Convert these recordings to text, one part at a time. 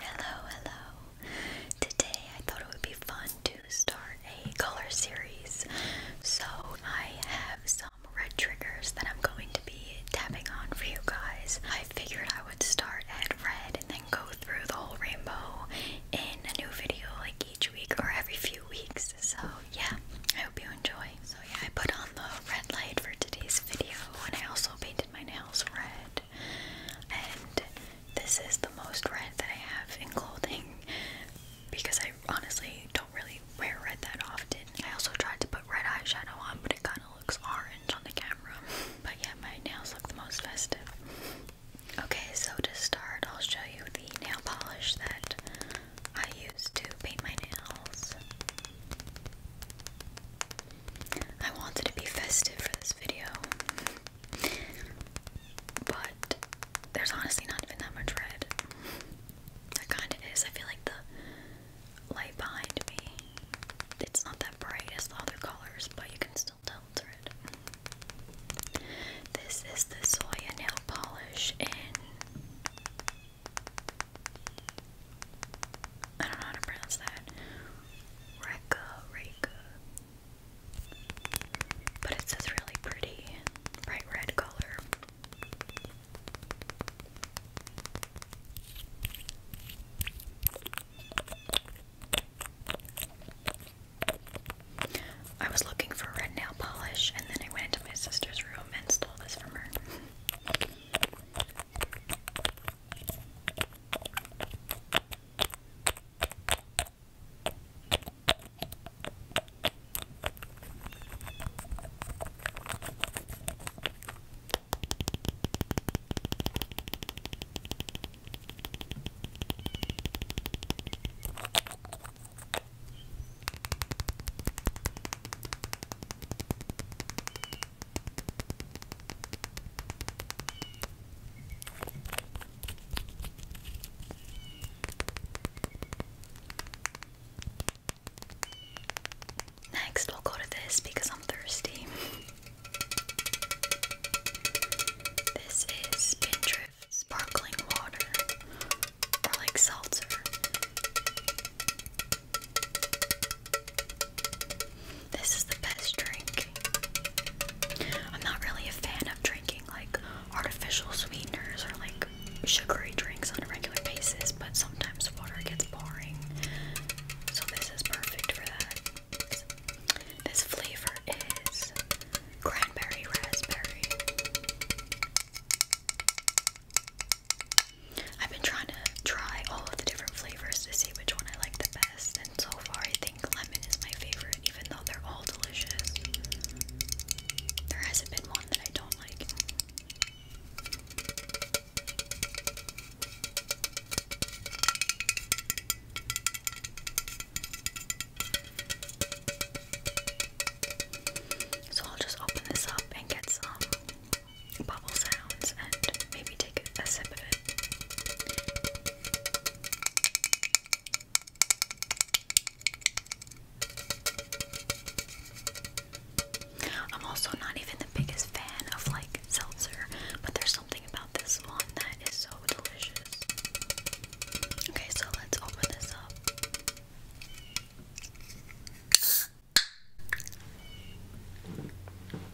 Hello, hello. Today I thought it would be fun to start a color series. So I have some red triggers that I'm going to be tapping on for you guys. I figured I would start at red and then go through the whole rainbow in a new video like each week or every few weeks. So, yeah, I hope you enjoy. So, yeah, I put on the red light for today's video, and I also painted my nails red. And this is the most red that I have in clothing because I honestly don't really wear red that often. I also tried to put red eyeshadow on, but it kind of looks orange on the camera. But yeah, my nails look the most festive. Okay, so to start, I'll show you the nail polish that I used to paint my nails. I wanted to be festive for this video, but there's honestly not even that much red. There kind of is. I feel like the light behind me, it's not that bright as the other colors, but you can still tell it's red. This is the soy nail polish in I don't know how to pronounce that. Reka Reka. But it says really pretty, bright red color. I was looking for red nail polish, and then I went into my sister's room and stole this from her. Next, we'll go to this because I'm thirsty. This is Pinterest sparkling water or like seltzer. This is the best drink. I'm not really a fan of drinking like artificial sweeteners or like sugary drinks on a regular basis, but sometimes water gets boring. So this is perfect for that. This flavor is cranberry raspberry. I've been trying to try all of the different flavors to see which one I like the best, and so far I think lemon is my favorite, even though they're all delicious. There hasn't been one that I don't like. So I'll just open this up and get some bubble sounds and maybe take a sip of it. I'm also not even the biggest fan of like seltzer, but there's something about this one. That is so delicious. Okay, so let's open this up.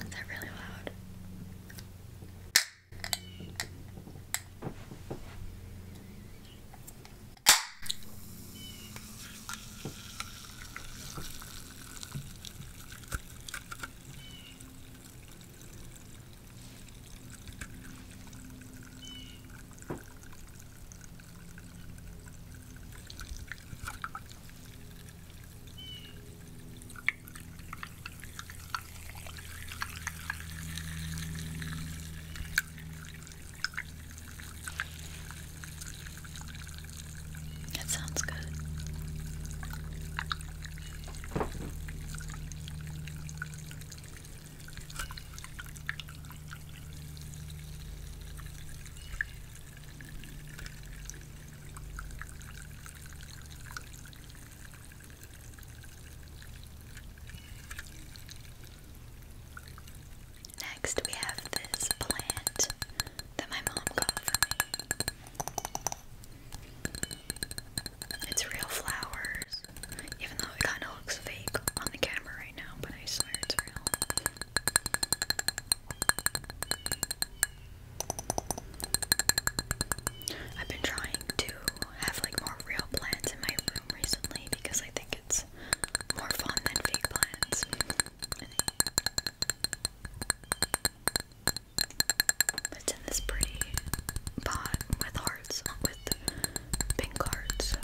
Is that really loud? That sounds good. Next, we have this plant that my mom got for me. It's real flowers. Even though it kinda looks fake on the camera right now, but I swear it's real. I've been trying to have like more real plants in my room recently because I think it's more fun than fake plants. It's in this pretty pot with hearts, with pink hearts.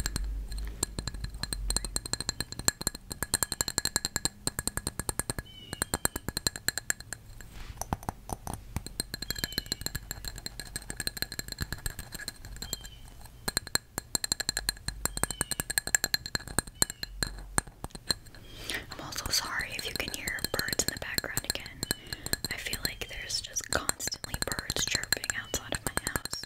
I'm also sorry if you can hear birds in the background again. I feel like there's just constantly birds chirping outside of my house.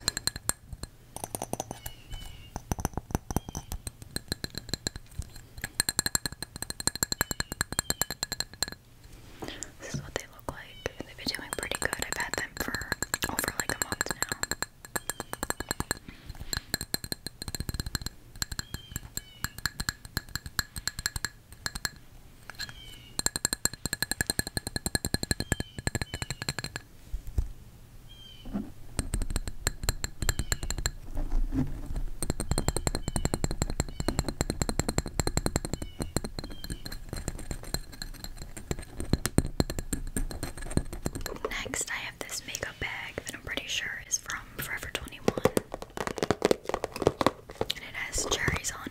This is what they look like. They've been doing pretty good. I've had them for over like a month now. Next, I have this makeup bag that I'm pretty sure is from Forever 21 and it has cherries on it.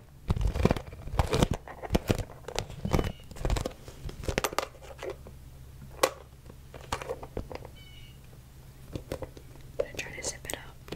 I'm gonna try to zip it up.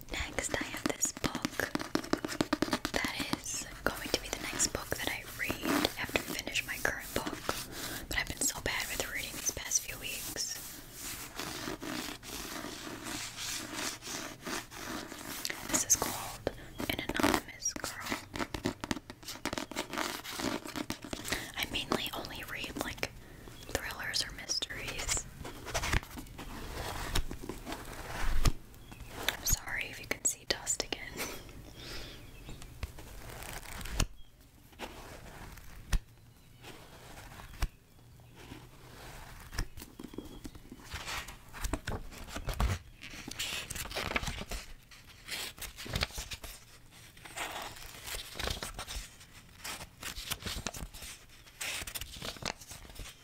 Next, I have this book that is going to be the next book that I read after finish my current book. But I've been so bad with reading these past few weeks. This is called An Anonymous Girl. I mainly only read like thrillers or mysteries. I'm sorry if you can see dust again.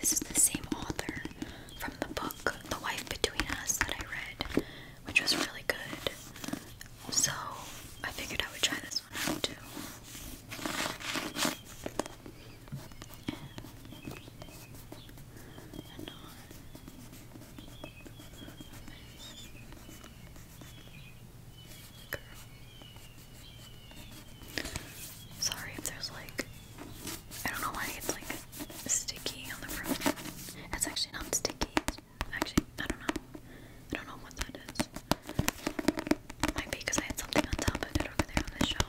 This is the same author from the book The Wife Between Us that I read which was really good. So I figured I would try this one out too. Sorry if there's like I don't know why it's like sticky on the front. It's actually not sticky, Actually, I don't know. I don't know what that is. Might be because I had something on top of it over there on the shelf.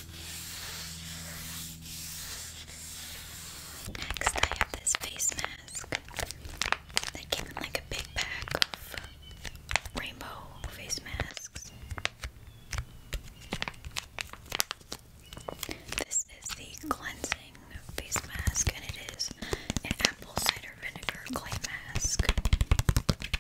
Next, I have this face mask that came in like a big pack of rainbow face masks. This is the cleansing face mask, and it is an apple cider vinegar clay mask.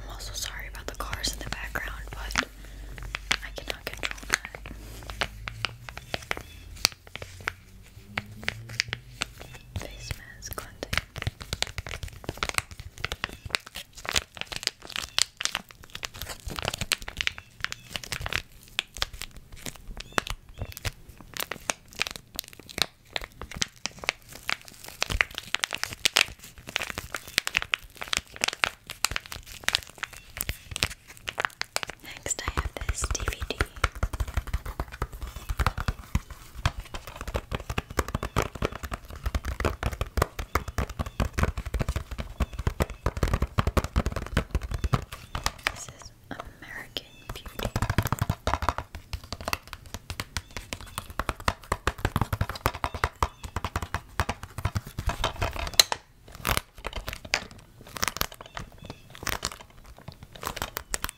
I'm also sorry about the cars in the background, but I cannot control that face mask Next, I have this DVD. This is American Beauty.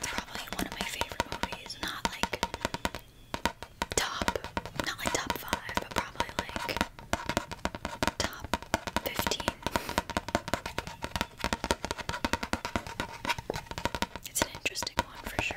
Probably one of my favorite movies. Not like top, not like top five, but probably like top fifteen. It's an interesting one for sure.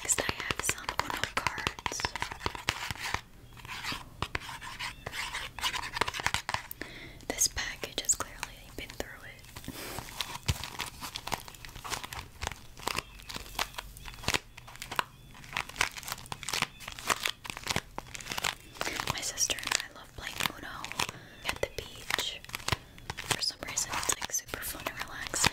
Next, I have some Uno This package has clearly been through it. My sister and I love playing Uno at the beach. For some reason, it's like super fun and relaxing.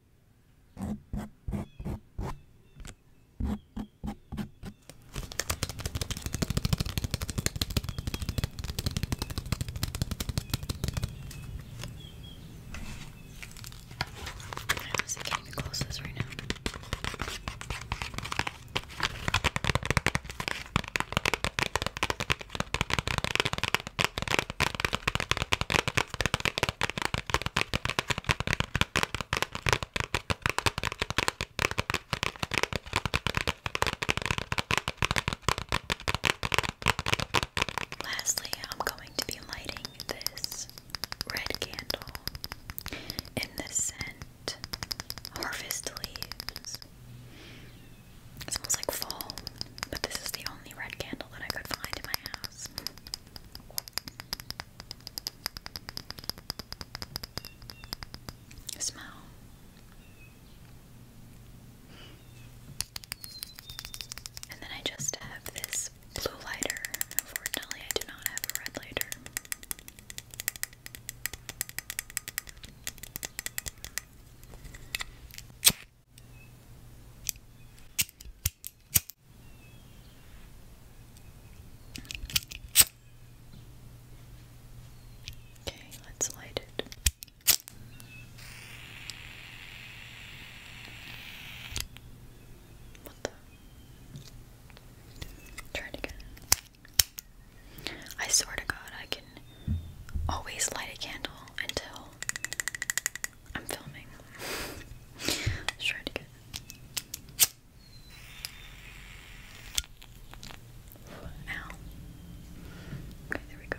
Honestly, I can't even close this right now. Lastly, I'm going to be lighting this red candle in the scent Harvest Leaves. It smells like fall, but this is the only red candle that I could find in my house. Smell. And then I just have this blue lighter. Unfortunately, I do not have a red lighter. Okay, let's light it. What the? Try again. I swear to God, I can always light a candle until I'm filming. Let's try to Now. Okay, there we go.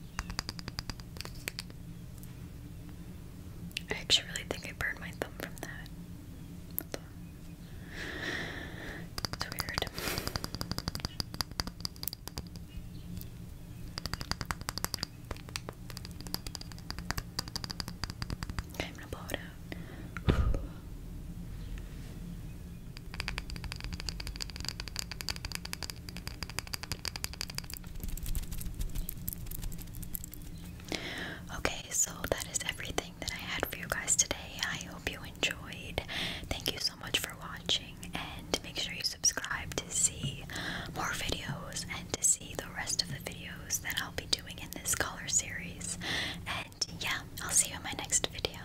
I actually really think I burned my thumb from that. It's weird. I'm gonna blow it out. Okay, so that is everything that I had for you guys today. I hope you enjoyed. Thank you so much for watching, and make sure you subscribe to see more videos and to see the rest of the videos that I'll be doing in this color series. And yeah, I'll see you in my next video.